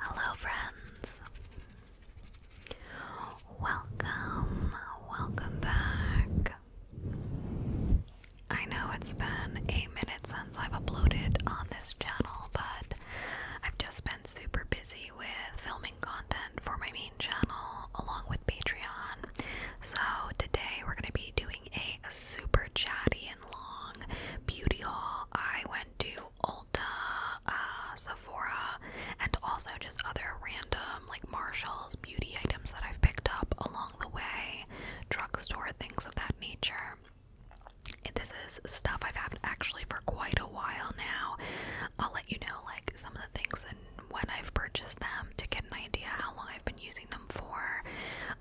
Hello, friends. Welcome, welcome back. I know it's been a minute since I've uploaded on this channel, but I've just been super busy with filming content for my main channel along with Patreon. So today we're going to be doing a super chatty and long beauty haul. I went to Ulta, uh, Sephora, and also just other random like Marshalls beauty items that I've picked up along the way, drugstore, things of that nature. This is stuff I've had actually for quite a while now. I'll let you know like some of the things and when I've purchased them to get an idea how long I've been using them for.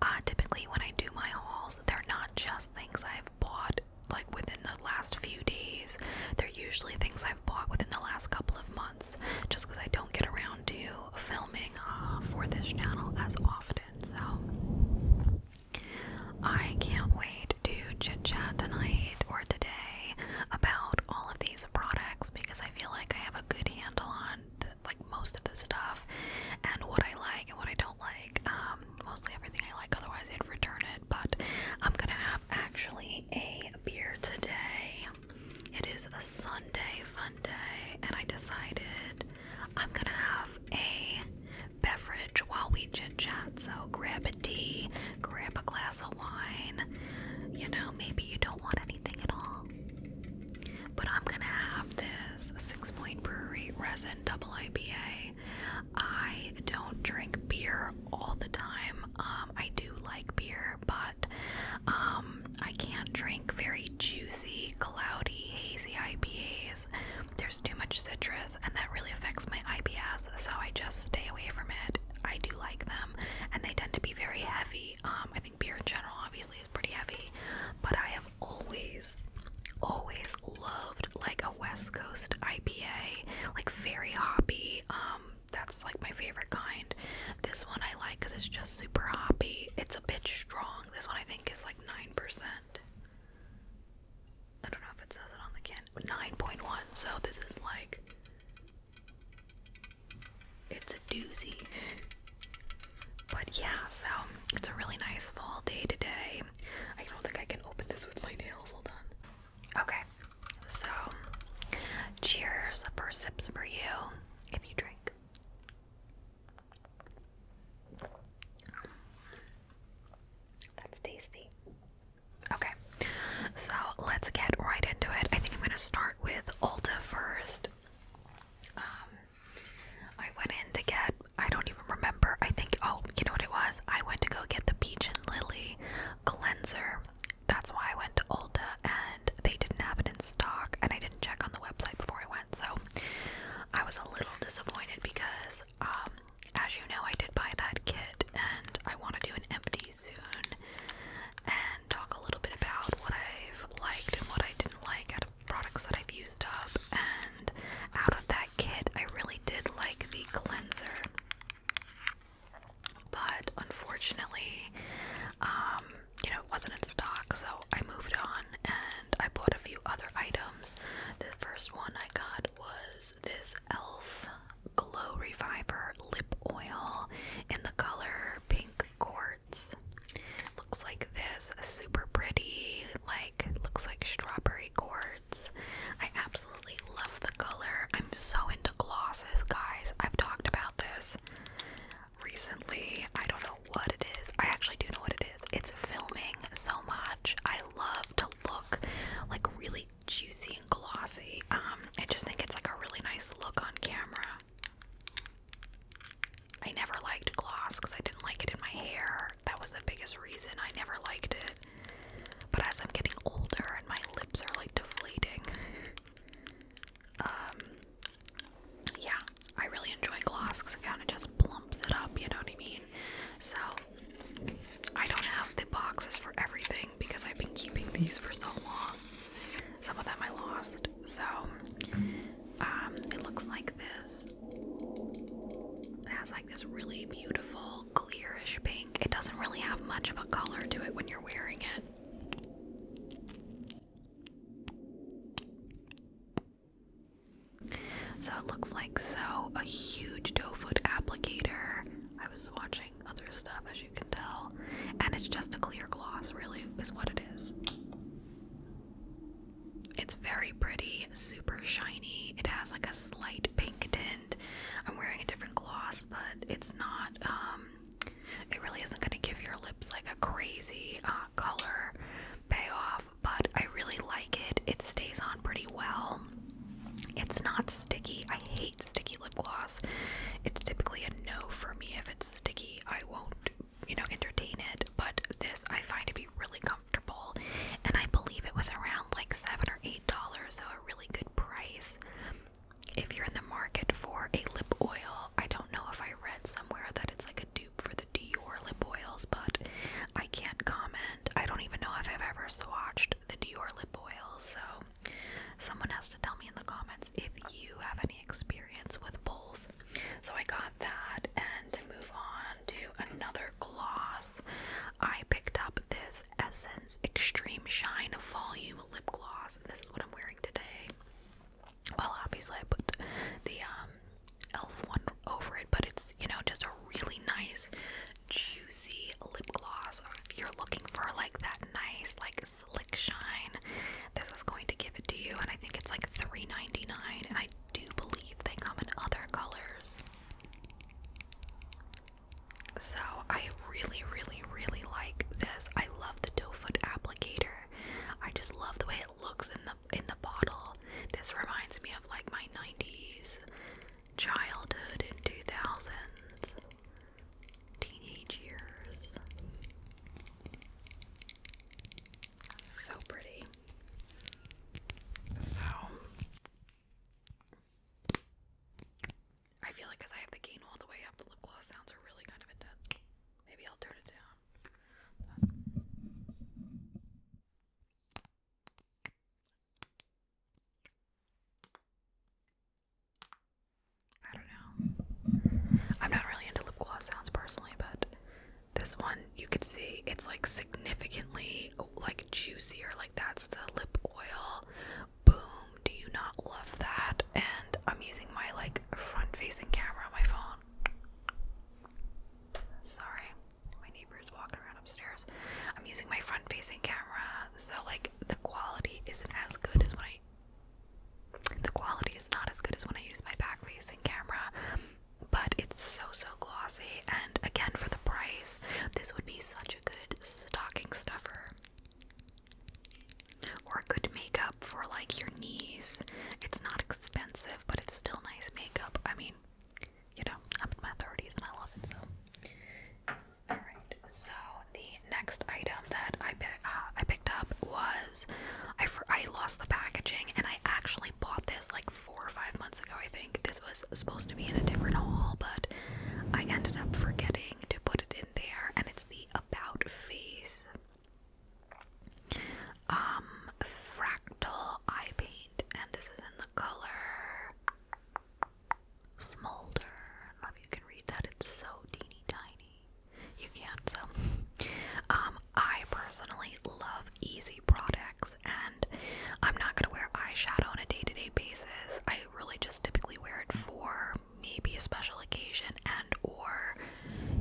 Uh, typically, when I do my hauls, they're not just things I've bought like within the last few days. They're usually things I've bought within the last couple of months, just because I don't get around to filming uh, for this channel as often. So I can't wait to chit chat tonight or today about all of these products because I feel like I have a good handle on like most of the stuff and what I like and what I don't like. Um, mostly everything I like, otherwise I'd return it. But I'm gonna have actually a beer today. It is a Sunday fun day, and I decided I'm gonna have a beverage while we chit chat. So grab a tea, grab a glass of wine. You know, maybe you don't want anything at all but I'm gonna have this Six Brewery Resin Double IPA. I don't drink beer all the time. Um, I do like beer, but um, I can't drink very juicy, cloudy, hazy IPAs. There's too much citrus, and that really affects my IBS, so I just stay away from it. I do like them, and they tend to be very heavy. Um, I think beer in general, obviously, pretty heavy, but I have always, always loved like a West Coast IPA, like very hoppy. Um, that's like my favorite kind. This one I like because it's just super hoppy. It's a bit strong. This one I think is like nine percent. I don't know if it says it on the can. Nine point one. So this is like. It's a doozy. But yeah, so it's a really nice fall day today. I don't think I can open this with my nails. Hold on. Okay, so cheers for sips for you if you drink. That's tasty. Okay, so let's get right into it. I think I'm gonna start with Ulta first. Um, I went in to get, I don't even remember. I think, oh, you know what it was? I went to go get the Peach and Lily cleanser. That's why I went to Ulta and they didn't have it in stock and I didn't check on the website before I went. So I was a little disappointed because, um, as you know, I did buy that kit and I want to do an empty soon and talk a little bit about what I've liked and what I didn't like products that I've used up, and out of that kit, I really did like the cleanser. But unfortunately, um, you know, it wasn't in stock, so I moved on and I bought a few other items. The first one I got was this e.l.f. Glow Reviver Lip Oil in the color Pink Quartz hearts. Looks like this, super pretty, like looks like strawberry cords. I absolutely love the color. I'm so into glosses, guys. I've talked about this recently. I don't know what it is. I actually do know what it is. It's filming so much. I love to look like really juicy and glossy. Um, I just think it's like a really nice look on camera. I never liked gloss because I didn't like it in my hair. That was the biggest reason I never liked it. But as I'm getting older and my lips are like deflating, um, yeah, I really enjoy gloss because it kind of just plumps it up, you know what I mean? So I don't have the boxes for everything because I've been keeping these for so long. Some of them I lost. So um, it looks like this. It has like this really beautiful clearish pink. It doesn't really have much of a color to it when you're wearing it. So it looks like so a huge doe foot applicator. I was swatching other stuff as you can tell, and it's just a clear gloss, really, is what it is. It's very pretty, super shiny. It has like a slight pink tint. I'm wearing a different gloss, but it's not, um, it really isn't going to give your lips like a crazy uh, color payoff, but I really like it. It stays on pretty well. It's not sticky. I hate sticky lip gloss. It's typically a no for me. If it's sticky, I won't you know, entertain it, but this I find to be really comfortable, and I believe it was around like seven or eight dollars, so a really good price. If you're in the market for a lip oil, I don't know if I read somewhere that it's like a dupe for the Dior lip oils, but I can't comment. I don't even know if I've ever swatched the Dior lip oil, so someone has to tell me in the comments if you have any experience with both. So I got that, and to move on to another gloss, I picked up this Essence Extreme Shine Volume Lip Gloss, and this is what I'm wearing today. Well, obviously, I put the um, e.l.f. one over it, but it's, you know, just a really nice, juicy lip gloss. If you're looking for like that nice, like slick shine, this is going to give it to you. And I think it's like $3.99, and I do believe they come in other colors. So I really, really, really like this. I love the doe foot applicator. I just love the way it looks in the in the bottle. This reminds me of like my 90s childhood and 2000s teenage years. So pretty. So I feel like because I have the gain all the way up, the lip gloss sounds are really kind of intense. Maybe I'll turn it down. I don't know. I'm not really into lip gloss sounds personally, but this one you could see it's like significantly like juicier, like that's the lip oil. Boom, do you not love that? And I'm using my like front facing camera on my phone. Sorry, my neighbor's walking around upstairs. I'm using my front facing camera, so like the quality isn't as good as when I the quality is not as good as when I use my back facing camera but it's so so glossy and again for the price this would be such a good stocking stuffer or a good makeup for like your knees it's not expensive but it's still nice makeup i mean you know i'm in my 30s and i love it so all right so the next item that i, uh, picked up was I, I lost the packaging and i actually bought this like four or five months ago, I think. This was supposed to be in a different haul, but I ended up forgetting to put it in there, and it's the About Face um, Fractal Eye Paint, and this is in the color Smolder. if you can read that, it's so teeny tiny. You can't, um, I personally love easy products, and I'm not gonna wear eyeshadow on a day to day basis. I really just typically wear it for maybe a special occasion, and or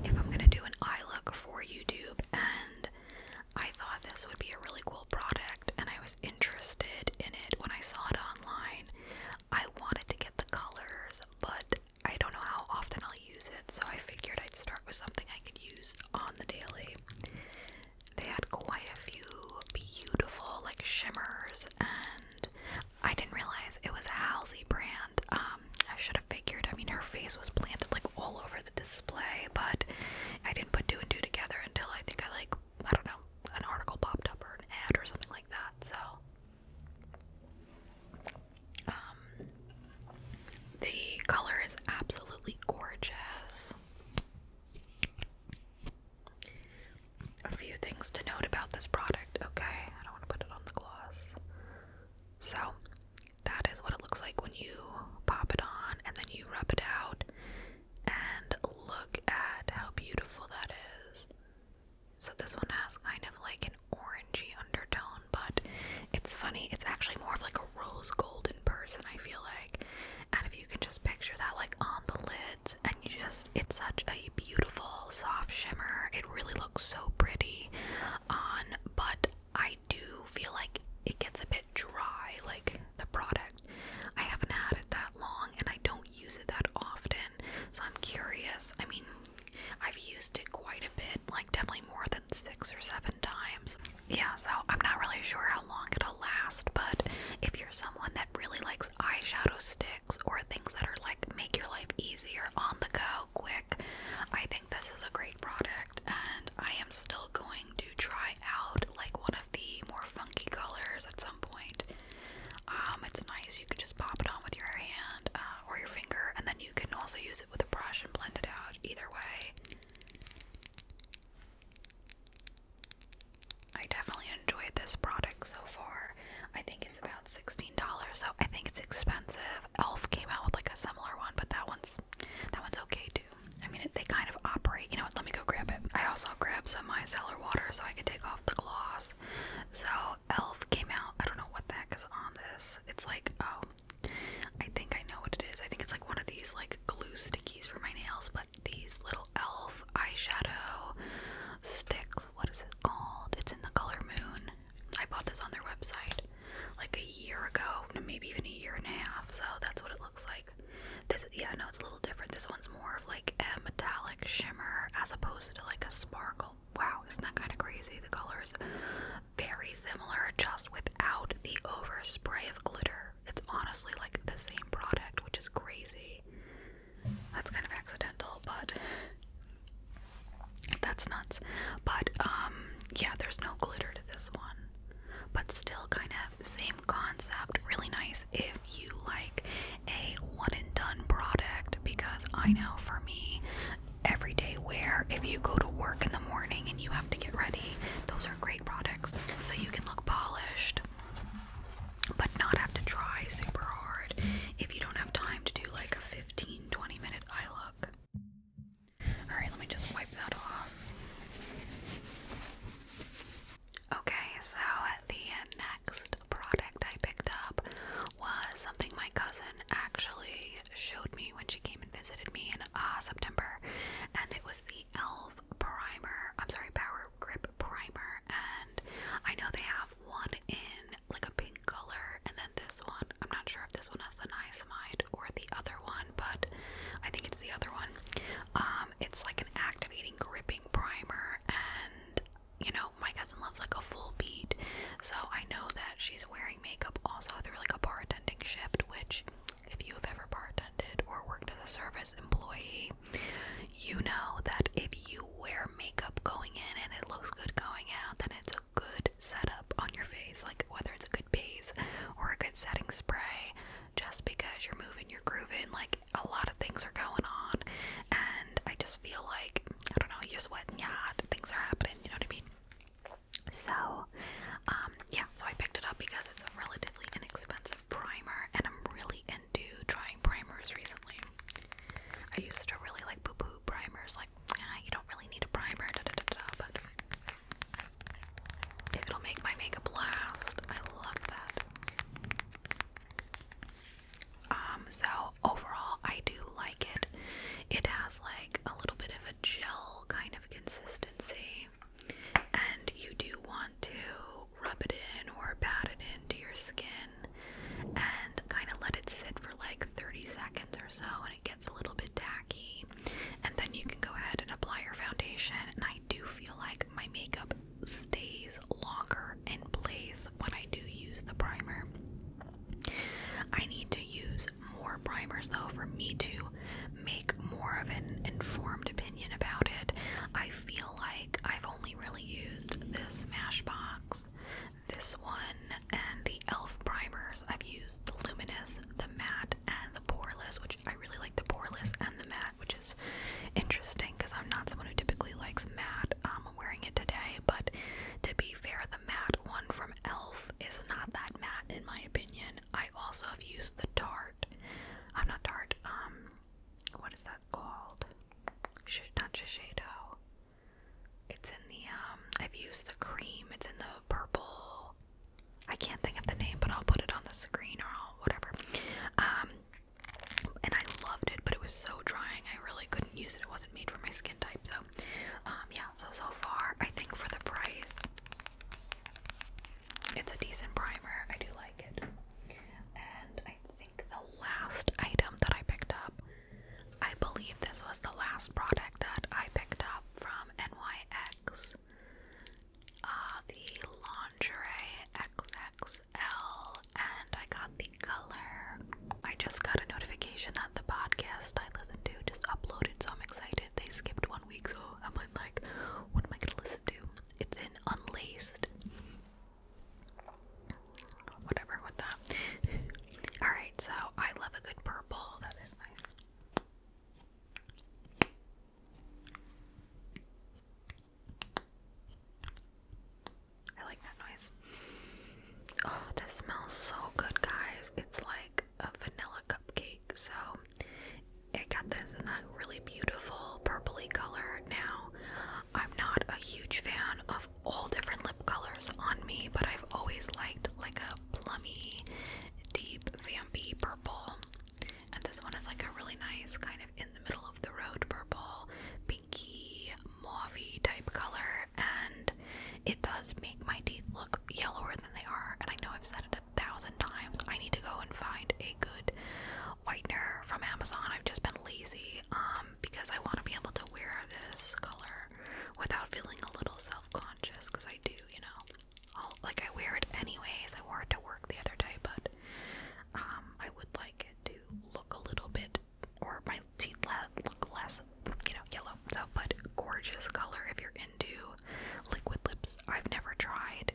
if I'm gonna do an eye look for YouTube. And I thought this would be a really cool product, and I was interested in it when I saw it online. I wanted to get the colors, but I don't know how often I'll use it, so I figured I'd start with something I could use on the daily. They had quite a few beautiful like shimmers, and I didn't realize it was a Halsey brand. Um, I should have figured. I mean, her face was planted like all over the display, but I didn't put two and two together until I think I like I don't know an article popped up or an ad or something like that. So um, the color is absolutely gorgeous. A few things to note about this product, okay? I don't want to put it on the gloss. So, that is what it looks like when you pop it on and then you rub it out. And look at how beautiful that is. So, this one has kind of like an orangey undertone, but it's funny. It's actually more of like a rose gold in person, I feel like. And if you can just picture that like on the lids, and you just, it's such a beautiful soft shimmer. It really looks so pretty on, but I do feel like it gets a bit dry, like the product. I haven't had it that long and I don't use it that often, so I'm curious. I mean, I've used it quite a bit, like definitely more than six or seven times. Yeah, so I'm not really sure how long it'll last, but if you're someone that really likes eyeshadow sticks or things that are like make your life easier on the go, quick, I think this is a great product and I am still going to try out like one of the more funky colors at some point. Um, it's nice, you can just pop it on with your hand. Um, uh, or your finger, and then you can also use it with a brush and blend it out. Either way, I definitely enjoyed this product so far. I think it's about $16, so I think it's expensive. Elf came out with like a similar one, but that one's that one's okay too. I mean, they kind of operate. You know what? Let me go grab it. I also grabbed some micellar water so I can take off the gloss. So Elf came out. I don't know what the heck is on this. It's like oh, I think I know what it is. I think it's like one of these like glue stickies for my nails, but these little elf eyeshadow sticks. What is it called? It's in the color moon. I bought this on their website like a year ago, maybe even a year and a half. So that's what it looks like. This, yeah, no, it's a little different. This one's more of like a metallic shimmer as opposed to like a sparkle. Wow, isn't that kind of crazy? The colors very similar, just without the overspray of glitter. It's honestly like the same product, which is crazy. That's kind of accidental, but that's nuts. But um, yeah, there's no glitter to this one. But still, kind of same concept. Really nice if you like a one and done product because I know for me, everyday wear if you go to work in the morning and you have to get ready. Those are great products so you can look polished but not have to try super hard if you don't have time to do like a 15 minute eye look. All right, let me just wipe that off. Okay, so the next product I picked up was something my cousin actually showed me when she came visited me in uh, September, and it was the Elf Primer. I'm sorry, Power Grip Primer, and I know they have one in like a pink color, and then this one. I'm not sure if this one has the niacinamide or the other one, but I think it's the other one. Um, it's like an activating, gripping primer, and you know, my cousin loves like a full bead, so I know that she's wearing wearing makeup also through like a bartending shift, which if you've ever bartended or worked as a service employee, you know that if you wear makeup going in and it looks good going out, then it's a good setup on your face. Like whether it's a good base or a good setting spray, just because you're moving, you're grooving, like a lot of things are going on. And I just feel like, I don't know, you're sweating, yeah, things are happening, you know what I mean? So, um, yeah, so I picked it up because it's a relatively inexpensive primer, and I'm really into trying primers recently. I used to really like boo boo primers, like, ah, you don't really need a primer, da da da da, but it'll make my makeup last. I love that. Um, so overall, I do like it. It has like a little bit of a gel kind of consistency, and you do want to rub it in or pat it into your skin and kind of let it sit for like 30 seconds or so, and it gets a little bit tacky. And then you can go ahead and apply your foundation. And I do feel like my makeup stays longer in place when I do use the primer. I need to use more primers though for me to make more of an informed opinion about it. I feel like I've only really used this Smashbox, this one, and the e.l.f. primers. I've used the Luminous, the Matte, and the Poreless, which I really like the Poreless and the Matte, which is interesting because I'm not someone who typically likes matte. Um, I'm wearing it today, but to be fair, matte one from e.l.f. is not that matte in my opinion. I also have used the Tarte. I'm not Tarte, um, what is that called? Sh not Shiseido. It's in the, um, I've used the cream. It's in the purple. I can't think of the name, but I'll put it on the screen or whatever. Um, and I loved it, but it was so drying. I really couldn't use it. It wasn't made for my skin type, so um, yeah, so so far, I think for the price, it's a decent primer. I do like it. And I think the last item that I picked up, I believe this was the last product that I picked up from NYX. Uh, the lingerie XXL, and I got the color. I just got a notification that the podcast I listen to just uploaded, so I'm excited they skipped one week, so I'm like, what am I gonna listen to? It's in Unlaced. Whatever with that. Alright, so I love a good purple. That is nice. I like that noise. Oh, this smells so good, guys. It's like like a vanilla cupcake. So it got this in that really beautiful purpley color. Now, I'm not a huge fan of all different lip colors on me, but I've always liked like a plummy, deep, vampy purple. And this one is like a really nice kind of in the middle of the road purple, pinky, mauvey type color. And it does make my teeth look yellower than they are. And I know I've said it a thousand times. I need to go and find a good whitener from Amazon. I've just been lazy um, because I want to be able to wear this color without feeling a little self conscious because I do, you know. i like I wear it anyways. I wore it to work the other day, but um, I would like it to look a little bit, or my teeth look less you know, yellow. So, but gorgeous color if you're into liquid lips. I've never tried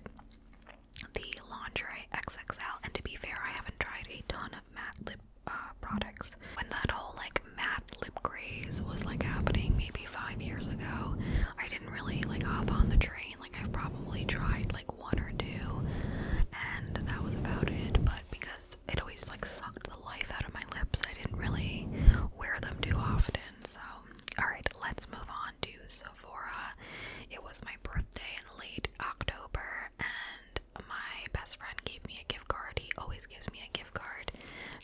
the Lingerie XXL, and to be fair, I haven't tried a ton of matte lip uh, products. When that whole like matte lip craze was like happening maybe five years ago, I didn't really like hop on the train. Like, I've probably tried like one or two, and that was about it. But because it always like sucked life out of my lips. I didn't really wear them too often. So, alright, let's move on to Sephora. It was my birthday in late October, and my best friend gave me a gift card. He always gives me a gift card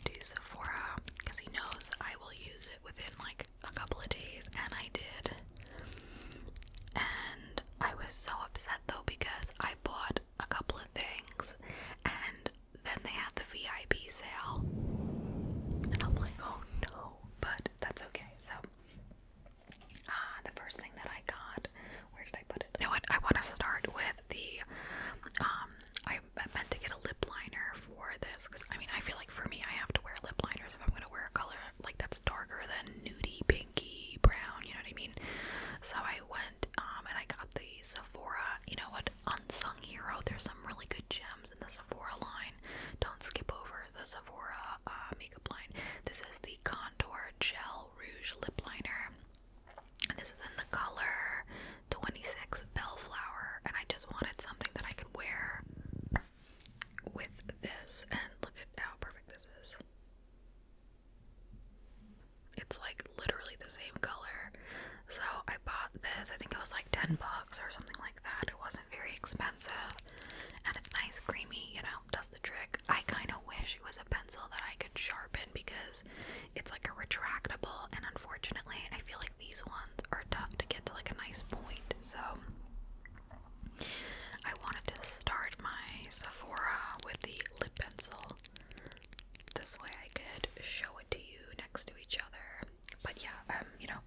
to Sephora because he knows I will use it within like a couple of days, and I did. And I was so upset though because I bought a couple of things and then they had the VIP sale. And I'm like, oh no, but that's okay. So, uh, the first thing that I got, where did I put it? You know what? I want to start with the, um, I meant to get a lip liner for this because I mean, I feel like for me, I have to wear lip liners if I'm going to wear a color like that's darker than nudie, pinky, brown, you know what I mean? So I went, um, and I got the Sephora, you know what? unsung hero. There's some really good gems in the Sephora line. Don't skip over the Sephora uh, makeup line. This is the Contour Gel Rouge Lip Liner. And this is in the color 26 Bellflower. And I just wanted something that I could wear with this. And look at how perfect this is. It's like literally the same color. So I bought this. I think it was like 10 bucks or something like that. It wasn't very expensive. And it's nice, creamy, you know, does the trick. I kind of wish it was a pencil that I could sharpen because it's like a retractable. And unfortunately, I feel like these ones are tough to get to like a nice point. So I wanted to start my Sephora with the lip pencil. This way I could show it to you next to each other. But yeah, I'm, um, you know,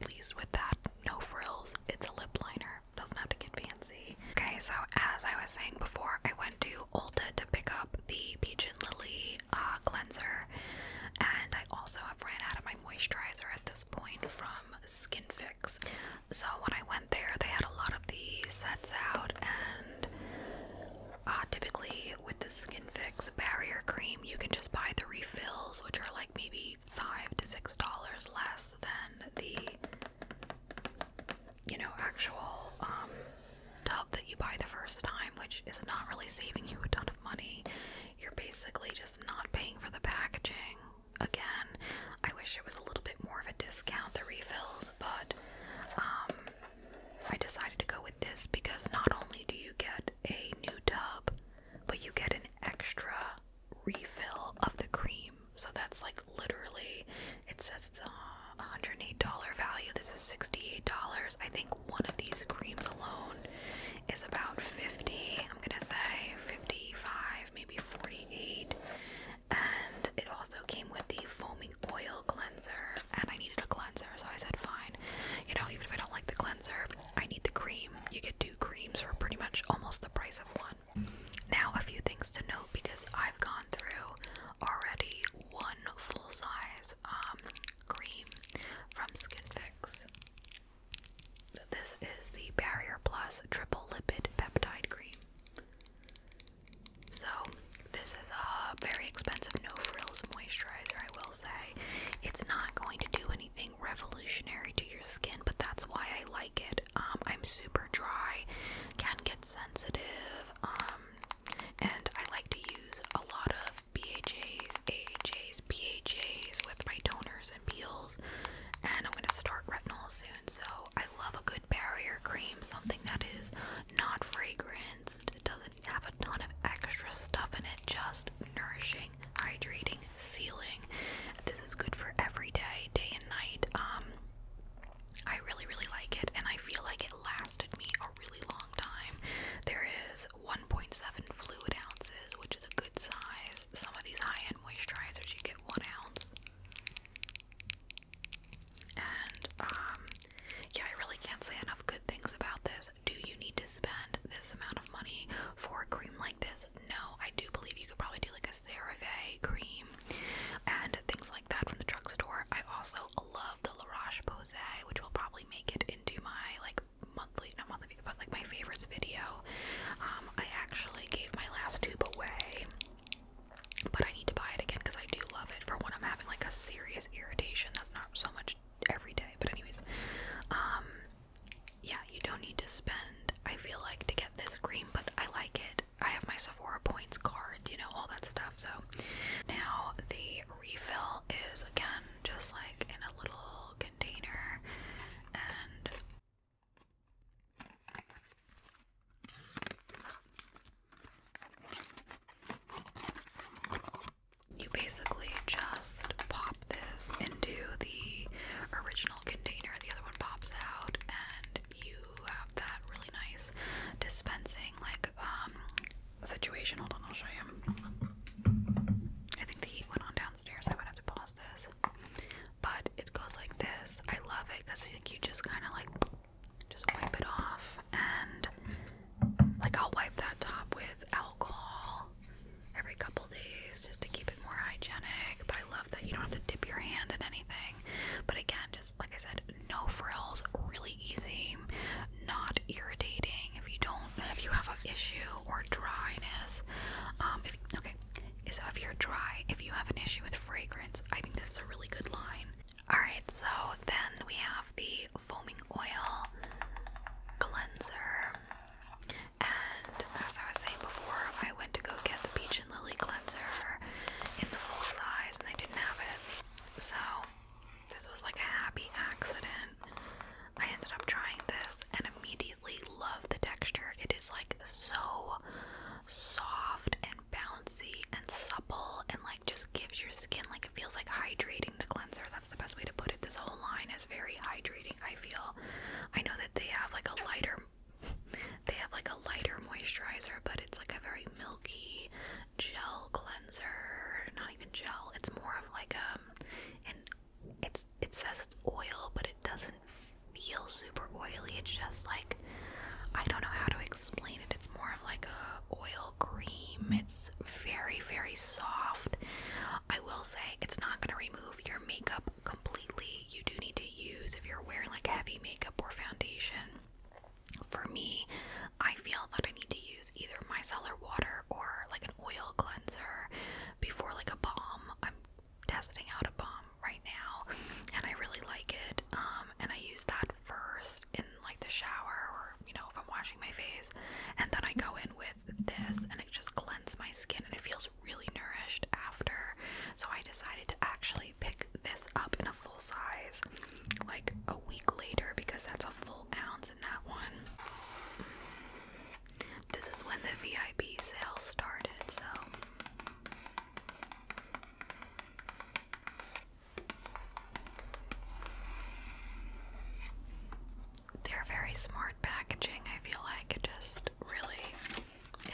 pleased with that. No frills. It's a lip liner. Doesn't have to get fancy. Okay, so as I was saying before, I went to Ulta to pick up the Peach and Lily uh, cleanser. And I also have ran out of my moisturizer at this point from Skin Fix. So when I went there, they had a lot of these sets out and uh, typically with the Skin Fix Barrier Cream, you can just buy the refills, which are like maybe five to six dollars less than the you know actual um, tub that you buy the first time, which is not really saving you a ton of money. You're basically just not paying for the packaging. Again, I wish it was a little bit more of a discount the refills, but um, I decided to go with this because not only do you get a new tub, but you get an extra refill of the cream. So that's like literally, it says it's uh, a $108 value. This is $68. I think one of these creams alone is about 50 I'm gonna say 55, maybe 48. And it also came with the foaming oil cleanser, and I needed a cleanser, so I said, fine. You know, even if I don't like the cleanser, I need the cream. You get two creams for pretty much almost the price of one. Now, a few things to note because I've gone through already one full size um, cream from SkinFix. this is the Barrier Plus Triple Lipid Peptide Cream. So, this is a very expensive no frills moisturizer, I will say. It's not going to do anything revolutionary to your skin, but that's why I like it. Um, I'm super dry, can get sensitive, um, and I like to use a lot of BHAs, AHAs, PHAs with my toners and peels. And I'm going to start retinol soon, so I love a good barrier cream, something that is not fragranced, have a ton of extra stuff in it, just nourishing, hydrating, sealing. This is good for every day, day and night. Um I really, really like it, and I feel like it lasted me a really long time. There is 1.7 fluid ounces, which is a good size. Some of these high end moisturizers, you get one ounce. And um, yeah, I really can't say enough good things about this. Do you need to spend this amount of money for cream like this? No, I do believe you could probably do like a CeraVe cream and things like that from the drugstore. I also love the La Roche Posay, which will probably make it into my like monthly, not monthly, but like my favorites video. Um, I actually gave my last tube away, but I need to buy it again because I do love it. For when I'm having like a serious irritation that's not um, so much every day, but anyways, um, yeah, you don't need to spend. I feel like to get this cream, but I like it. I have my Sephora points cards, you know, all that stuff. So now the refill is again just like in a little container, and you basically just pop this into the original container, the other one pops out, and you have that really nice dispensing like um, situation. Hold on, I'll show you. I think the heat went on downstairs, I would have to pause this. But it goes like this. I love it because like you just kind of like just wipe it off and like I'll wipe that top with alcohol every couple days just to keep it more hygienic. But I love that you don't have to dip your hand in anything. But again, just like I said, no frills, really easy, not irritating. If you don't, if you have an issue or dryness, um, okay. So if you're dry, if you have an issue with fragrance, I think this is a really good line. Alright, so then we have the foaming oil cleanser. And as I was saying before, I went to go get the Peach and Lily cleanser in the full size and they didn't have it. So this was like a happy accident. I ended up trying this and immediately love the texture. It is like so soft and bouncy and supple and like just gives your skin like it feels like hydrating the cleanser. That's the best way to put it. This whole line is very hydrating, I feel. I know that they have like a lighter they have like a lighter moisturizer, but it's like a very milky gel cleanser. Not even gel. It's more of like um and it's it says it's oil, but it doesn't feel super oily. It's just like I don't know how to explain it. It's more of like a oil cream. It's very, very soft. I will say it's not going to remove your makeup completely. You do need to use, if you're wearing like heavy makeup or foundation, for me, I feel that I need to use either micellar water or like an oil cleanser before like a balm. I'm testing out a balm right now and I really like it. Um, and I use that first in like the shower or you know if I'm washing my face and then I go in with this and it just cleans my skin and it feels really nourished after so I decided to actually pick this up in a full size like a week later because that's a full ounce in that one this is when the VIP sale started so they're very smart packaging. I feel like just really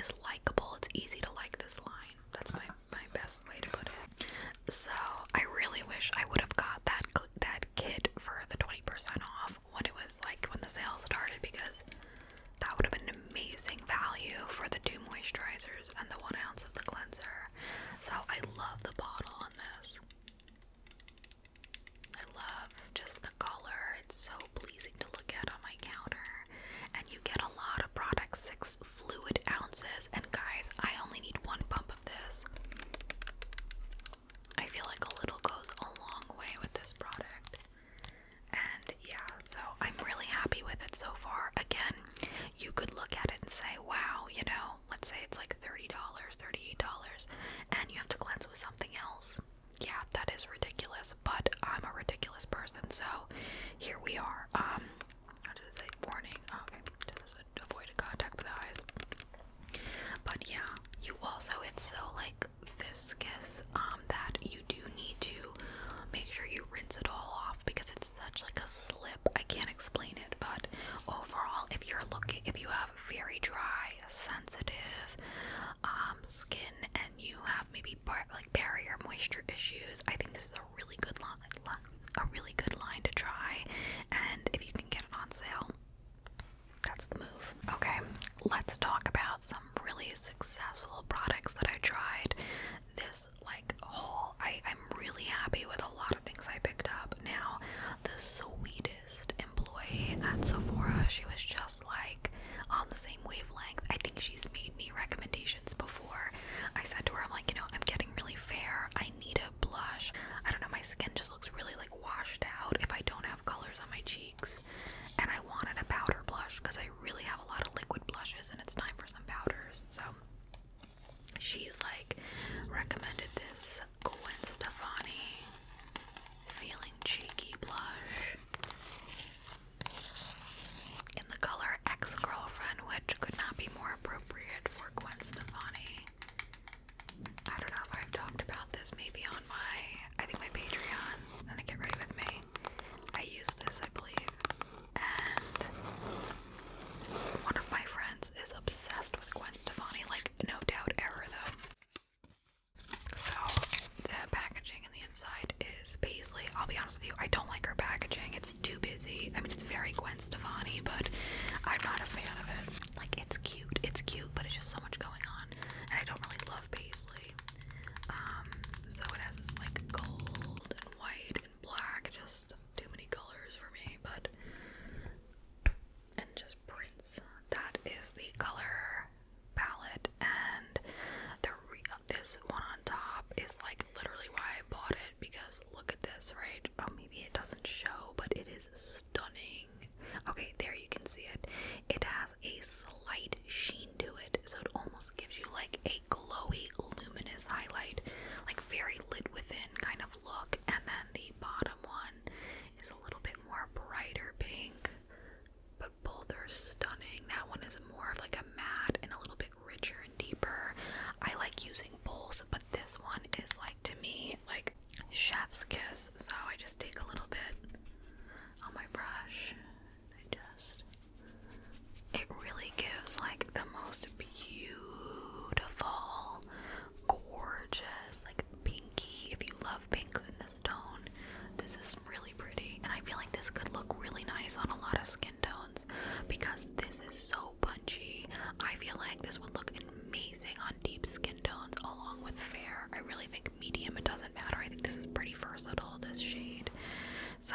is likable. It's easy to like this line. That's my my best way to put it. So I really wish I would have got that that kit for the twenty percent off when it was like when the sales started because that would have been amazing value for the two moisturizers and the one ounce of the cleanser. So I love the bottle on this. I love just the color. It's so pleasing to look at on my counter. And you get a lot of product, six fluid ounces. And guys, I only need one pump of this. I feel like a little goes a long way with this product. And yeah, so I'm really happy with it so far. Again, you could look at it and say, wow, you know, let's say it's like $30, $38, and you have to cleanse with something else. Yeah, that is ridiculous, but I'm a ridiculous person, so here we are. Um, how does it say? Warning. Okay, avoid contact with eyes? But yeah, you also, it's so like viscous um, that you do need to make sure you rinse it all off because it's such like a slip I can't explain it, but overall, if you're looking, if you have very dry, sensitive um, skin and you have maybe bar like barrier moisture issues, I think this is a really good line, a really good line to try. And if you can get it on sale, that's the move. Okay, let's talk about some really successful products that I tried. This like haul, I I'm really happy with a lot of things I picked up. Now, the sweetest employee at Sephora, she was just like on the same wavelength. I think she's made me recommendations before. I said to her, I'm like, you know, I'm getting really fair. I need a blush. I don't know, my skin just looks really like washed out if I don't have colors on my cheeks. And I wanted a powder blush because I really have a lot of liquid blushes and it's time for some powders. So she's like recommended this Gwen Stefani feeling cheeky blush in the color ex-girlfriend, which could not be more appropriate for Gwen Stefani. I don't know if I've talked about this maybe on my I think my Patreon. I'm get ready with me. I use this I believe. And one of my friends is obsessed with Gwen Stefani, like no doubt error though. So the packaging and the inside is paisley. I'll be honest with you, I don't like her packaging. It's too busy. I mean, it's very Gwen Stefani, but I'm not a fan of it. Like it's cute, it's cute, but it's just so much going on, and I don't really love paisley. Um, so it has this like gold and white black, just too many colors for me, but and just prints. That is the color palette, and the this one on top is like literally why I bought it because look at this, right? Oh, maybe it doesn't show, but it is stunning. Okay, there you can see it. It has a slight sheen to it, so it almost gives you like a glowy, luminous highlight. Like very lit within kind of look, and then the bottom one is a little bit more brighter pink, but both are stunning. That one is more of like a matte and a little bit richer and deeper. I like using both, but this one is like to me like chef's kiss. So I just take a little bit on my brush. I just it really gives like the most beautiful beautiful, gorgeous, like pinky. If you love pinks in this tone, this is really pretty. And I feel like this could look really nice on a lot of skin tones because this is so punchy. I feel like this would look amazing on deep skin tones along with fair. I really think medium, it doesn't matter. I think this is pretty versatile, this shade. So,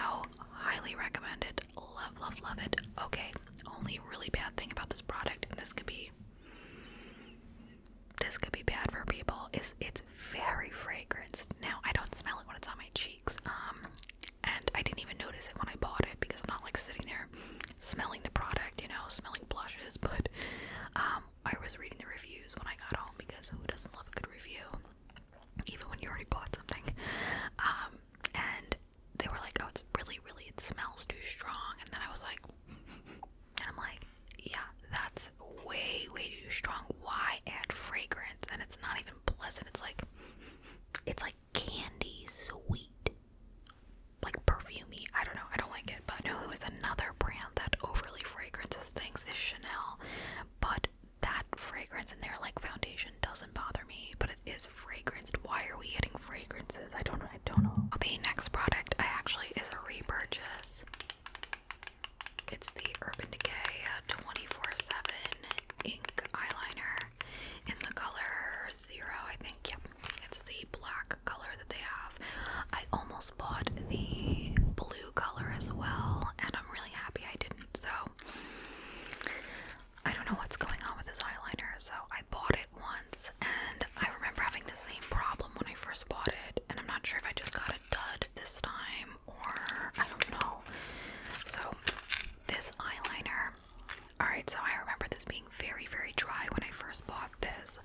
highly recommend it. Love, love, love it. Okay, okay. Only really bad thing about this product, and this could be this could be bad for people, is it's very fragrant. Now I don't smell it when it's on my cheeks. Um, and I didn't even notice it when I bought it because I'm not like sitting there smelling the product, you know, smelling blushes, but um, I was reading the reviews when I got home because who doesn't love a good review? Even when you already bought something. Um, and they were like, oh, it's really, really, it smells too strong. And then I was like, and I'm like, yeah, that's way, way too strong. Why add fragrance? And it's not even pleasant. It's like, it's like candy sweet, like perfumey. I don't know. I don't like it. But know it was another brand that overly fragrances things is Chanel. But that fragrance in their like foundation doesn't bother me, but it is fragranced. Why are we getting fragrances? I don't I don't know. The next product I actually is a repurchase. It's the Urban Decay 24/7 uh, ink eyeliner in the color zero, I think. Yep, it's the black color that they have. I almost bought the blue color as well, and I'm really happy I didn't. So I don't know what's going on with this eyeliner, so I bought it once and I remember having the same problem when I first bought it, and I'm not sure if I just got a dud this time or I don't know. So, this eyeliner, alright, so I remember this being very, very dry when I first bought this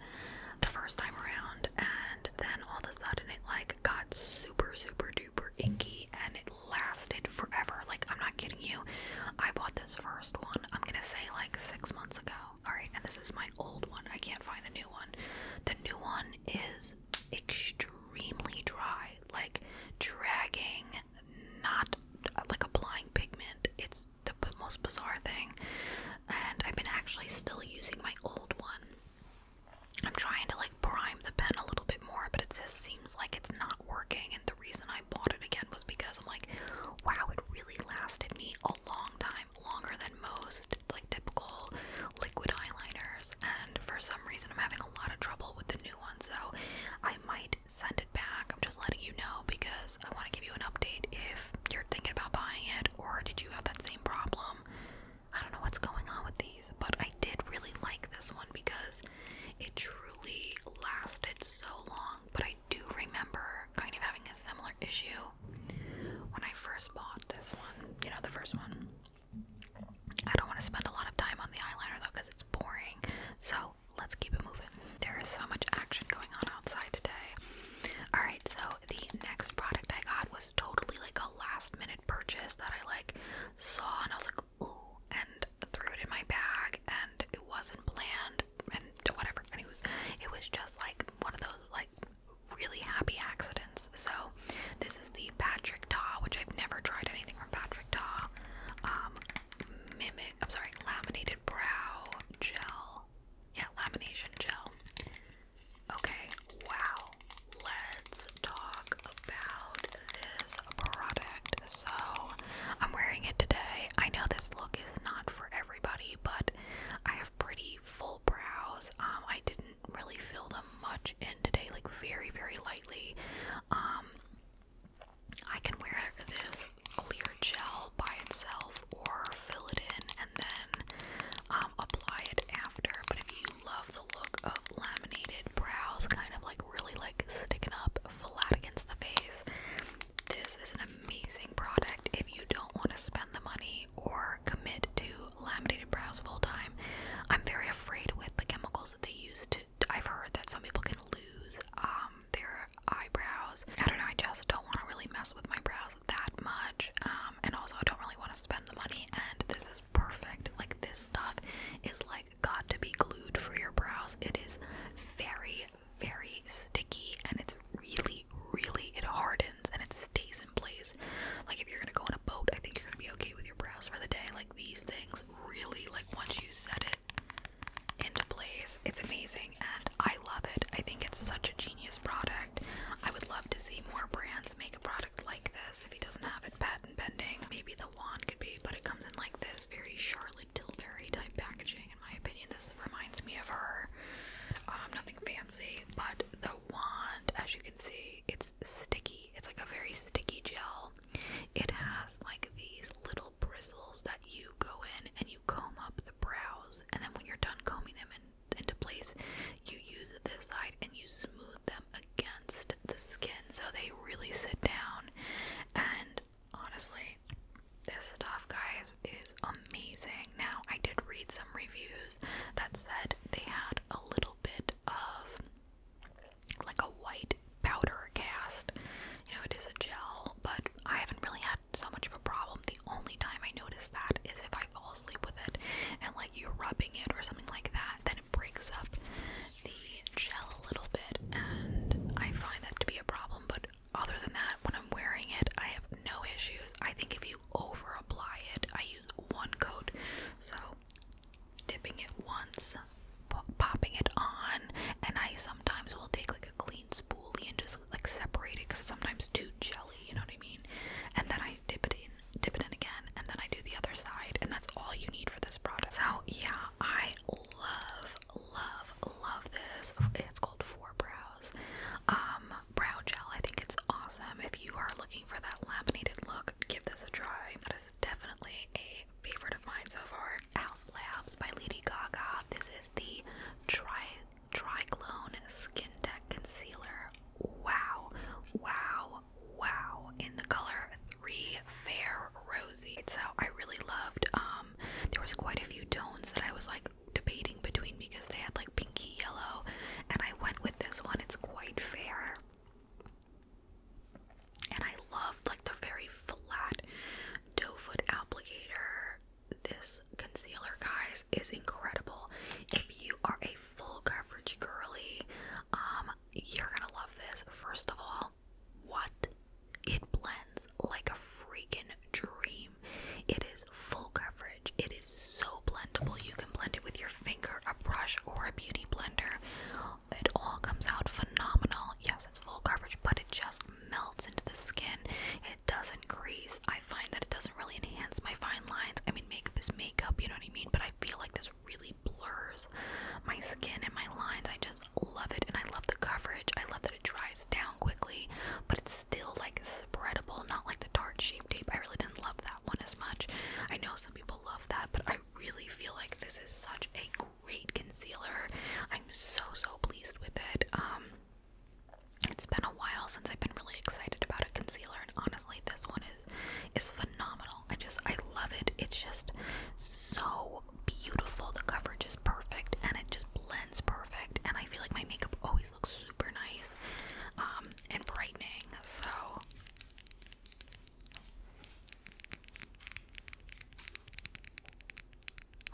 the first time around, and then all of a sudden it like got super, super duper inky and it lasted forever. Like, I'm not kidding you, I bought this first one I'm gonna say like six months ago. Alright, and this is my old one. I can't find the new one. The new one is extremely dry, like dragging, not like applying pigment. It's the most bizarre thing. And I've been actually still using my old one. I'm trying to like prime the pen a little bit more, but it just seems like it's not working and the reason I bought it again was because I'm like, wow, it really lasted me a long time, longer than most like typical liquid eyeliners. And for some reason, I'm having a lot of trouble with the new one, so I might send it back. I'm just letting you know because I want to give you an update if you're thinking about buying it, or did you have that same problem? I don't know what's going on with these, but I did really like this one because it truly lasted so long but I do remember kind of having a similar issue when I first bought this one. You know, the first one. I don't want to spend a lot of time on the eyeliner though because it's boring. So let's keep it moving. There is so much action going on outside today. Alright, so the next product I got was totally like a last minute purchase that I like saw and I was like, and threw it in my bag, and it wasn't planned, and whatever. And it was, it was just like one of those like really happy accidents. So this is the Patrick Ta, which I've never tried anything from Patrick Ta. Um, mimic. I'm sorry, laminated brow gel. Yeah, lamination gel. Okay, wow. Let's talk about this product so I'm wearing it today. I know this look is not for everybody, but I have pretty full brows. Um, I didn't really fill them much in today, like very, very lightly. Um, I can wear this clear gel by itself or fill it in and then um, apply it after. But if you love the look of laminated brows, kind of like really like sticking up flat against the face, this is an amazing product if you don't want to spend the money or commit to laminated brows full time. I'm very afraid with the chemicals that they use to I've heard that some people can lose um their eyebrows. I don't know, I just don't want to really mess with my brows that much. Um and also I don't really want to spend the money and this is perfect. Like this stuff is like got to be glued for your brows. It is very very sticky and it's really, really, it hardens and it stays in place. Like if you're gonna go on a boat, I think you're gonna be okay with your brows for the day. Like these things really, like once you set it into place, it's amazing and I love it. I think it's such a genius product. I would love to see more brands make a product like this if he doesn't have it patent pending. Maybe the the wand could be, but it comes in like this very Charlotte Tilbury type packaging. In my opinion, this reminds me of her. Um, nothing fancy, but the wand, as you can see, it's sticky. It's like a very sticky gel. It has like these little bristles that you go in and you comb up the brows, and then when you're done combing them in, into place, you use this side and you smooth them against the skin so they really sit down and honestly, this stuff, guys, is amazing. Now, I did read some reviews that said they had a little bit of like a white powder cast. You know, it is a gel, but I haven't really had so much of a problem. The only time I notice that is if I fall asleep with it and like you're rubbing it or something like that, then it breaks up the gel a little bit, and I find that to be a problem. But other than that, when I'm wearing it, I have no issues. I think if you over apply it, I use one coat, so dipping it once, popping it on, and I sometimes will take like a clean spoolie and just like separate it because it's sometimes too jelly, you know what I mean? And then I dip it in, dip it in again, and then I do the other side, and that's all you need for this product. So, yeah, I love, love, love this. It's called Four Brows um, Brow Gel. I think it's awesome. If you are looking for that laminated look, give this a try. That is definitely a favorite of mine so far. House Labs by Lady Gaga. This is the Tri Triclone Skin Deck Concealer. Wow, wow, wow. In the color Three Fair Rosy. So I really loved um um, there was quite a few tones that I was like debating between because they had like pinky yellow and I went with this one it's quite fair and I loved like the very flat doe foot applicator this concealer guys is incredible if you are a full coverage girly um you're gonna love this first of all what? It blends like a freaking dream. It is full coverage. It is so blendable. You can blend it with your finger, a brush, or a beauty blender. It all comes out phenomenal. Yes, it's full coverage, but it just melts into the skin. It doesn't crease. I find that it doesn't really enhance my fine lines. I mean, makeup is makeup, you know what I mean? But I feel like this really blurs my skin and my lines. I just love it and I love the coverage. I love that it dries down quickly, but it's still like spreadable, not like the Tarte Shape Tape. I really didn't love that one as much. I know some people love that, but I really feel like this is such a great concealer. I'm so so pleased with it. Um, it's been a while since I've been really excited about a concealer and honestly this one is is phenomenal. I just I love it. It's just so beautiful. The coverage is perfect and it just blends perfect. And I feel like my makeup always looks super nice um, and brightening. So.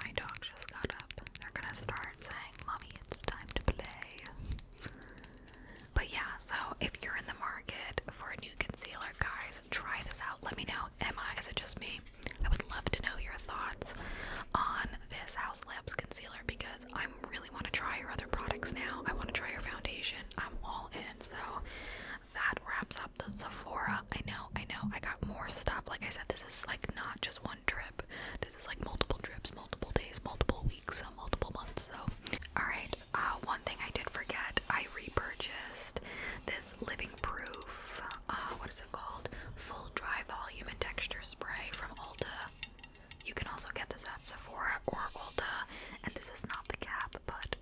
My dog just got up. They're gonna start saying, Mommy, it's time to play. But yeah, so if you're in the market for a new concealer, guys, try this out. Let me know. Emma, is it just me? I would love to know your thoughts on this House Labs concealer because I really want to try your other products now. I want to try your foundation. I'm all in. So that wraps up the Sephora. I know, I know, I got more stuff. Like I said, this is like not just one trip. This is like multiple trips, multiple days, multiple weeks, multiple months. So, all right. Uh, one thing I did forget, I repurchased this Living Proof uh, what is it called? Full Dry Volume and Texture Spray from Ulta. You can also get this at Sephora or Ulta, and this is not the cap, but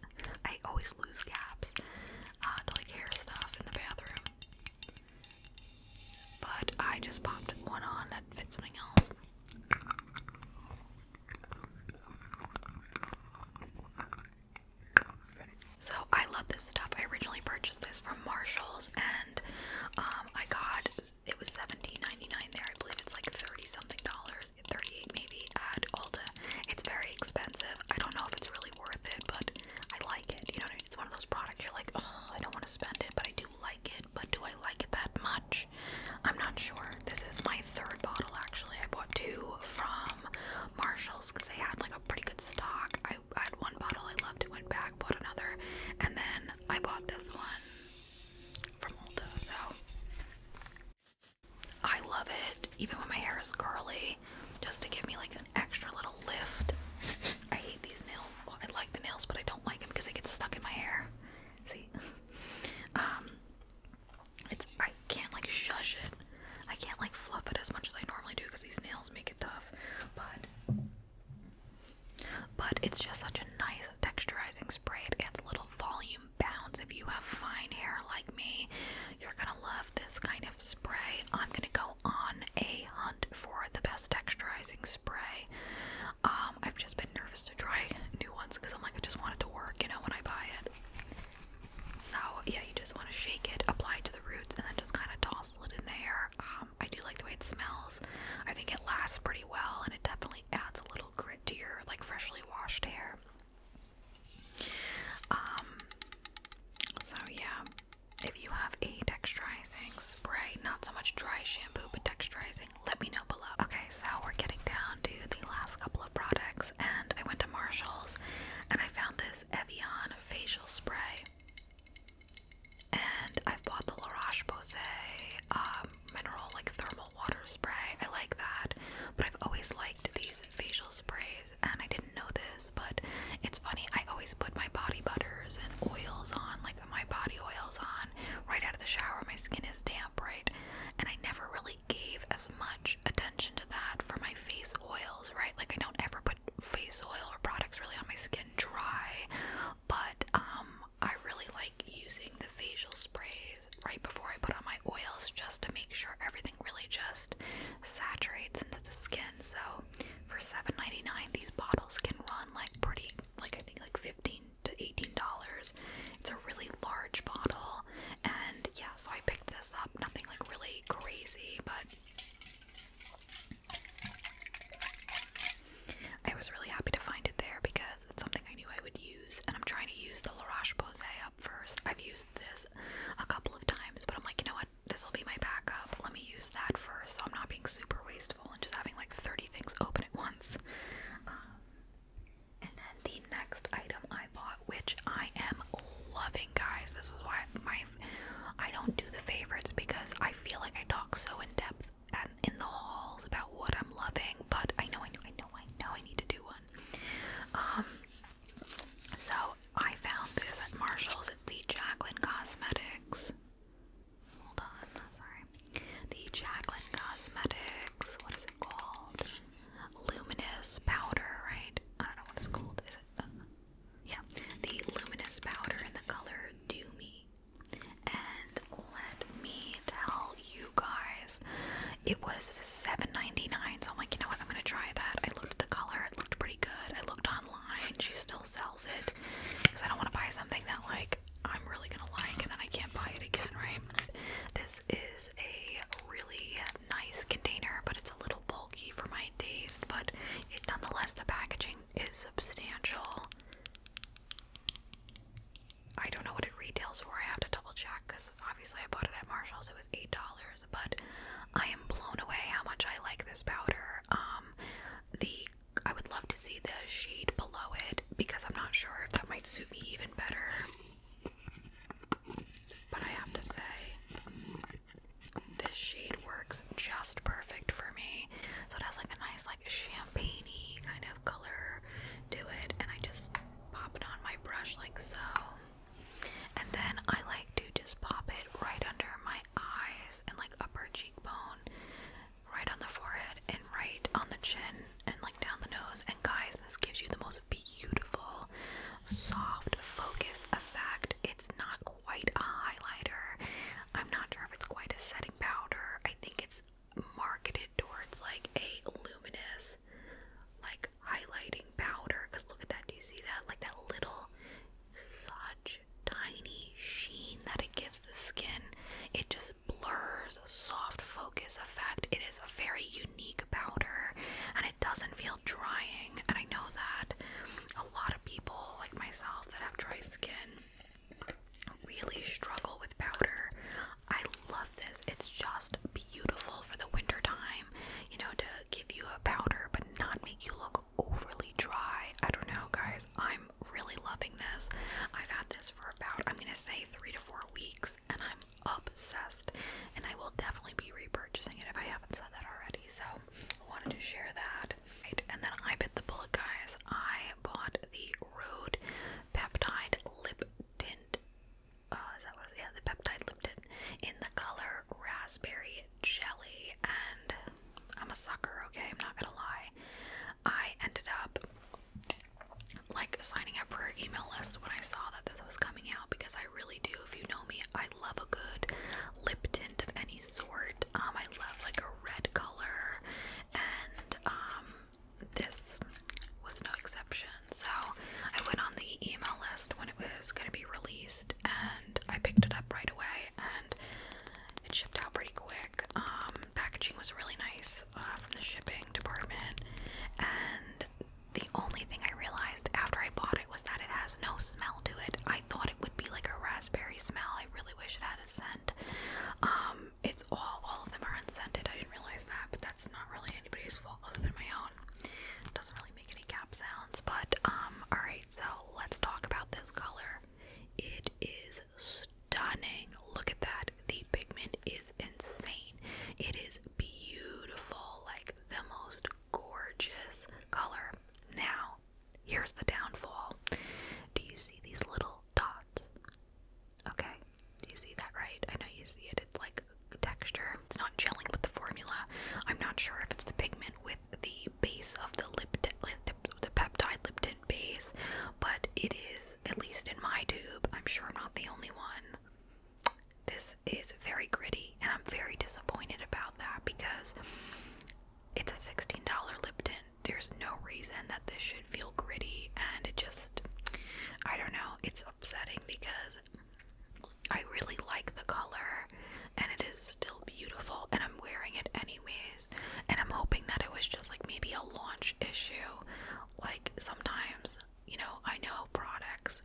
I always lose caps uh, to like hair stuff in the bathroom. But I just popped one on that fits something else. So I love this stuff. I originally purchased this from Marshalls and um, I got it was $17.99 there. I believe it's like 30 something dollars, 38 maybe at Alda. It's very expensive. I don't know if it's really worth it, but I like it. You know It's one of those products you're like, oh, I don't want to spend it, but I do like it. But do I like it that much? I'm not sure. This is my third bottle actually. I bought two from Marshalls because they had like pretty good stock. I, had one bottle I loved, it went back, bought another, and then I bought this one from Ulta. So I love it, even when my hair is curly, just to give me like an extra little lift. I hate these nails. I like the nails, but I don't like them because they get stuck in my hair. See, um, it's I can't like shush it. I can't like fluff it as much as I normally do because these nails make it tough. But but it's just such a nice texturizing spray. It gets little volume bounce. If you have fine hair like me, you're gonna love this kind of spray. I'm gonna go on a hunt for the best texturizing spray. Um, I've just been nervous to try new ones because I'm like I just want it to work, you know, when I buy it. So yeah, you just want to shake it, apply it to the roots, and then just kind of toss it in there. Um, I do like the way it smells. I think it lasts pretty well, and it definitely adds a little grit to your like freshly washed hair. Um. So yeah, if you have a texturizing spray, not so much dry shampoo, but texturizing, let me know below. Okay, so we're getting down to the last couple of products, and I went to Marshalls, and I found this Evian facial spray. And I've bought the La Roche um, mineral like thermal water spray. I like that. But I've always liked these facial sprays, and I didn't know this, but it's funny. I always put my body butters and oils on, like my body oils on, right out of the shower. My skin is damp, right? And I never really gave as much attention to that for my face oils, right? Like, I don't ever put face oil or products really on my skin dry, but um, I really like using the facial sprays right before I put on my oils just to make sure everything really just saturates into the skin. So, for seven ninety nine, these bottles can run like pretty, like, I think like 15 to $18. It's a really large bottle, and yeah, so I picked this up. Nothing like really crazy, but I was really happy to find it there because it's something I knew I would use, and I'm trying to use the La Roche up first. I've used this a couple of times, but I'm like, you know what? This will be my backup. Let me use that first, so I'm not being super wasteful and just having like 30 things open at once. Um, and then the next item I bought which I am loving, guys. This is why my I don't do the favorites because I feel like I talk so in depth and in the halls about what I'm loving. But I know, I know, I know, I know, I need to do one. Um, so I found this at Marshalls. It's the Jacqueline Cosmetics. Hold on, sorry. The Jacqueline Cosmetics. What is it called? Luminous powder, right? I don't know what it's called. Is it? Uh, yeah, the luminous powder in the color Do Me. And let me tell you guys, it was $7.99. So I'm like, you know what? I'm gonna try that. I looked at the color; it looked pretty good. I looked online; she still sells it because I don't want to buy something that like I'm really gonna like and then I can't buy it again, right? This is a really nice container, but it's a little bulky for my taste. But nonetheless, the packaging is substantial. I don't know what it retails for. I have to double check because obviously I bought it at Marshalls. It was eight dollars, but I am blown away how much I like this powder. Um, the I would love to see the shade below it because I'm not sure if that might suit me even better. But I have to say, this shade works just perfect for me. So it has like a nice, like champagne kind of color to it, and I just pop it on my brush like so. And then I like to just pop it right under my eyes and like upper cheekbone, right on the forehead, and right on the chin, and like down the nose. And guys, this gives you the most beautiful, soft focus effect it's not quite a highlighter. I'm not sure if it's quite a setting powder. I think it's marketed towards like a luminous, like highlighting powder. Because look at that. Do you see that? Like that little, such tiny sheen that it gives the skin. It just blurs, soft focus effect. It is a very unique powder, and I it doesn't feel drying, and I know that a lot of people like myself that have dry skin really struggle with powder. I love this. It's just beautiful for the winter time, you know, to give you a powder but not make you look overly dry. I don't know, guys. I'm really loving this. I've had this for about I'm going to say 3 to 4 weeks and I'm obsessed. And I will definitely be repurchasing it if I haven't said that already. So, I wanted to share that. and then I bit the bullet, guys. I bought the Rode Peptide Lip Tint. Uh, is that what Yeah, the Peptide Lip Tint in the color Raspberry Jelly. And I'm a sucker, okay? I'm not gonna lie. I ended up like signing up for her email list when I saw that this was coming out because I really do. If you know me, I love a good lip tint of any sort. Um, I love like a red color, and um, this was no exception. So I went on the email list when it was going to be released, and I picked it up right away, and it shipped out pretty quick. Um, packaging was really nice uh, from the shipping department, and the only thing I realized after I bought it was that it has no smell to it. I thought it would be like a raspberry smell. I really wish it had a scent. Um, it's all all of them are unscented. I didn't realize that, but that's not really anybody's fault other than my own. It doesn't really make any cap sounds, but um, all right. So let's talk about this color. It is stunning. Look at that. The pigment is insane. It is beautiful, like the most gorgeous color. Now, here's the downfall. Do you see these little dots? Okay, do you see that right? I know you see it. It's like texture. It's not gelling with the formula. I'm not sure if it's the pigment with the base of the lip, the, the peptide lip tint base, but it is, at least in my tube, I'm sure I'm not the only one. This is very gritty, and I'm very disappointed about that because it's a $16 Lipton. There's no reason that this should feel gritty, and it just, I don't know, it's upsetting because I really like the color, and it is still beautiful, and I'm wearing it anyways, and I'm hoping that it was just like maybe a launch issue. Like sometimes, you know, I know products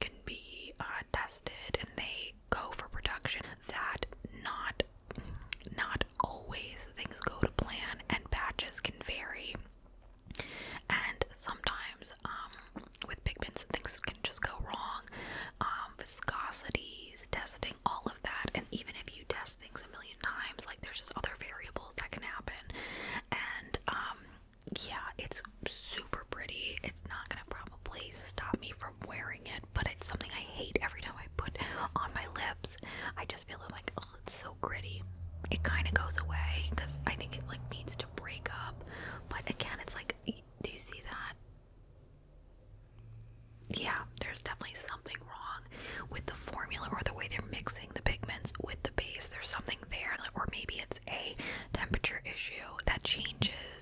can be uh, tested and they go for production that not not always things go to plan and batches can vary and sometimes um, with pigments things can just go wrong um, viscosities testing all of that and even if you test things a million times like there's just other variables that can happen and um, yeah, it's super pretty. It's not gonna probably stop me from wearing it, but it's something I hate every time I put on my lips. I just feel like, oh, it's so gritty. It kind of goes away because I think it like needs to break up. But again, it's like, do you see that? Yeah, there's definitely something wrong with the formula or the way they're mixing the pigments with the base. There's something there, or maybe it's a temperature issue that changes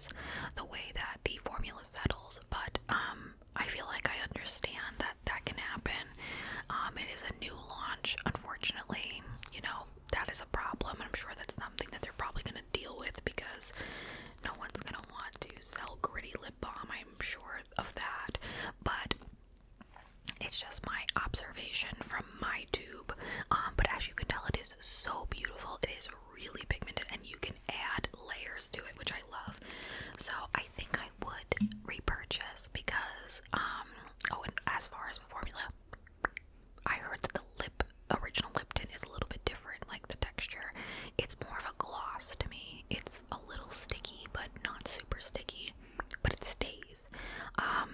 the way that the formula settles, but um, I feel like I understand that that can happen. Um, it is a new launch, unfortunately. You know, that is a problem. I'm sure that's something that they're probably going to deal with because no one's going to want to sell gritty lip balm. I'm sure of that. But it's just my observation from my tube. Um, but as you can tell, it is so beautiful. It is really pigmented and you can add layers to it, which I love. So I think I would repurchase because um oh and as far as the formula, I heard that the lip original Lipton is a little bit different, like the texture. It's more of a gloss to me. It's a little sticky but not super sticky, but it stays. Um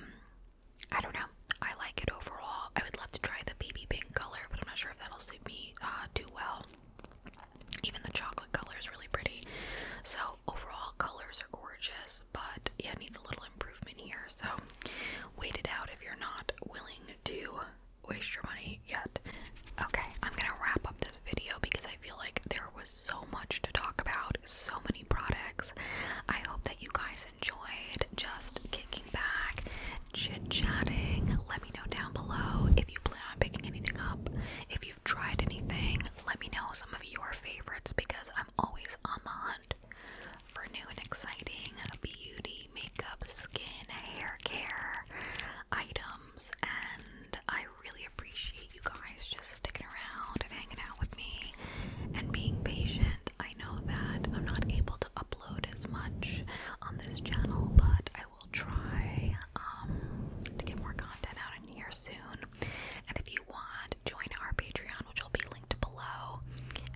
I don't know. I like it overall. I would love to try the baby pink color, but I'm not sure if that'll suit me uh, too well. Even the chocolate color is really pretty. So overall, colors are gorgeous, but yeah, it needs a little improvement here. So wait it out if you're not willing to waste your money yet. Okay, I'm gonna wrap up this video because I feel like there was so much to talk about, so many products. I hope that you guys enjoyed just kicking back, chit chatting. Let me know down below if you plan on picking anything up. If you've tried anything, let me know some of your favorites because I'm always on the hunt for new and exciting beauty, makeup, skin, hair care items. And I really appreciate you guys just sticking around and hanging out with me and being patient. I know that I'm not able to upload upload as much on this channel, but I will try um, to get more content out in here soon. And if you want, join our Patreon, which will be linked below,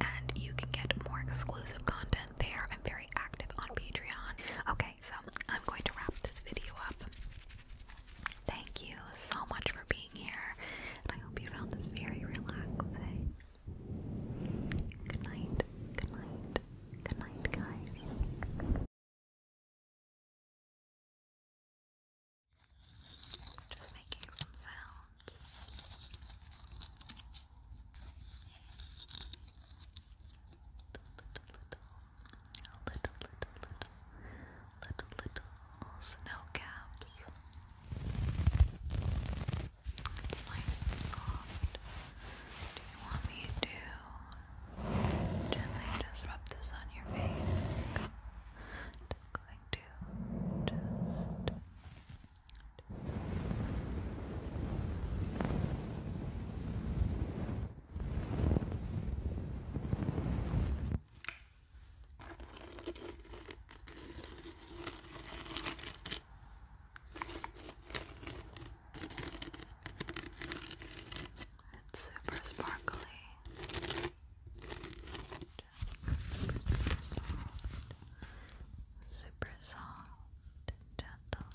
and you can get more exclusive content there. I'm very active on Patreon. Okay, so I'm going to wrap this video up. Thank you so much for being here, and I hope you found this very relaxing. Good night, good night, good night, guys. Just making some sounds. Little, little, little, little, little, little, little it's nice and soft. Do you want me to gently just rub this on your face? Okay. Just going to just Okay. It's super sparkly. Super soft. and gentle.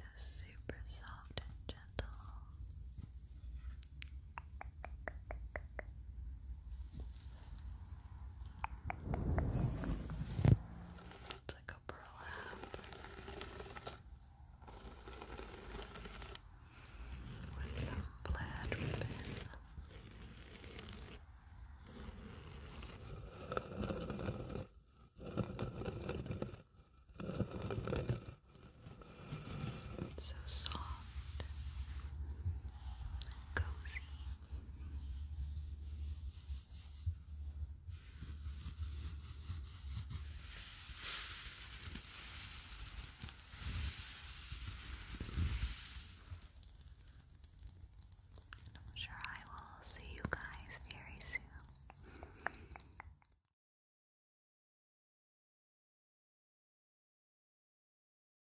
Just super soft and gentle. It's like a burlap. With some plaid ribbon. It's so soft, cozy. I'm sure I will see you guys very soon.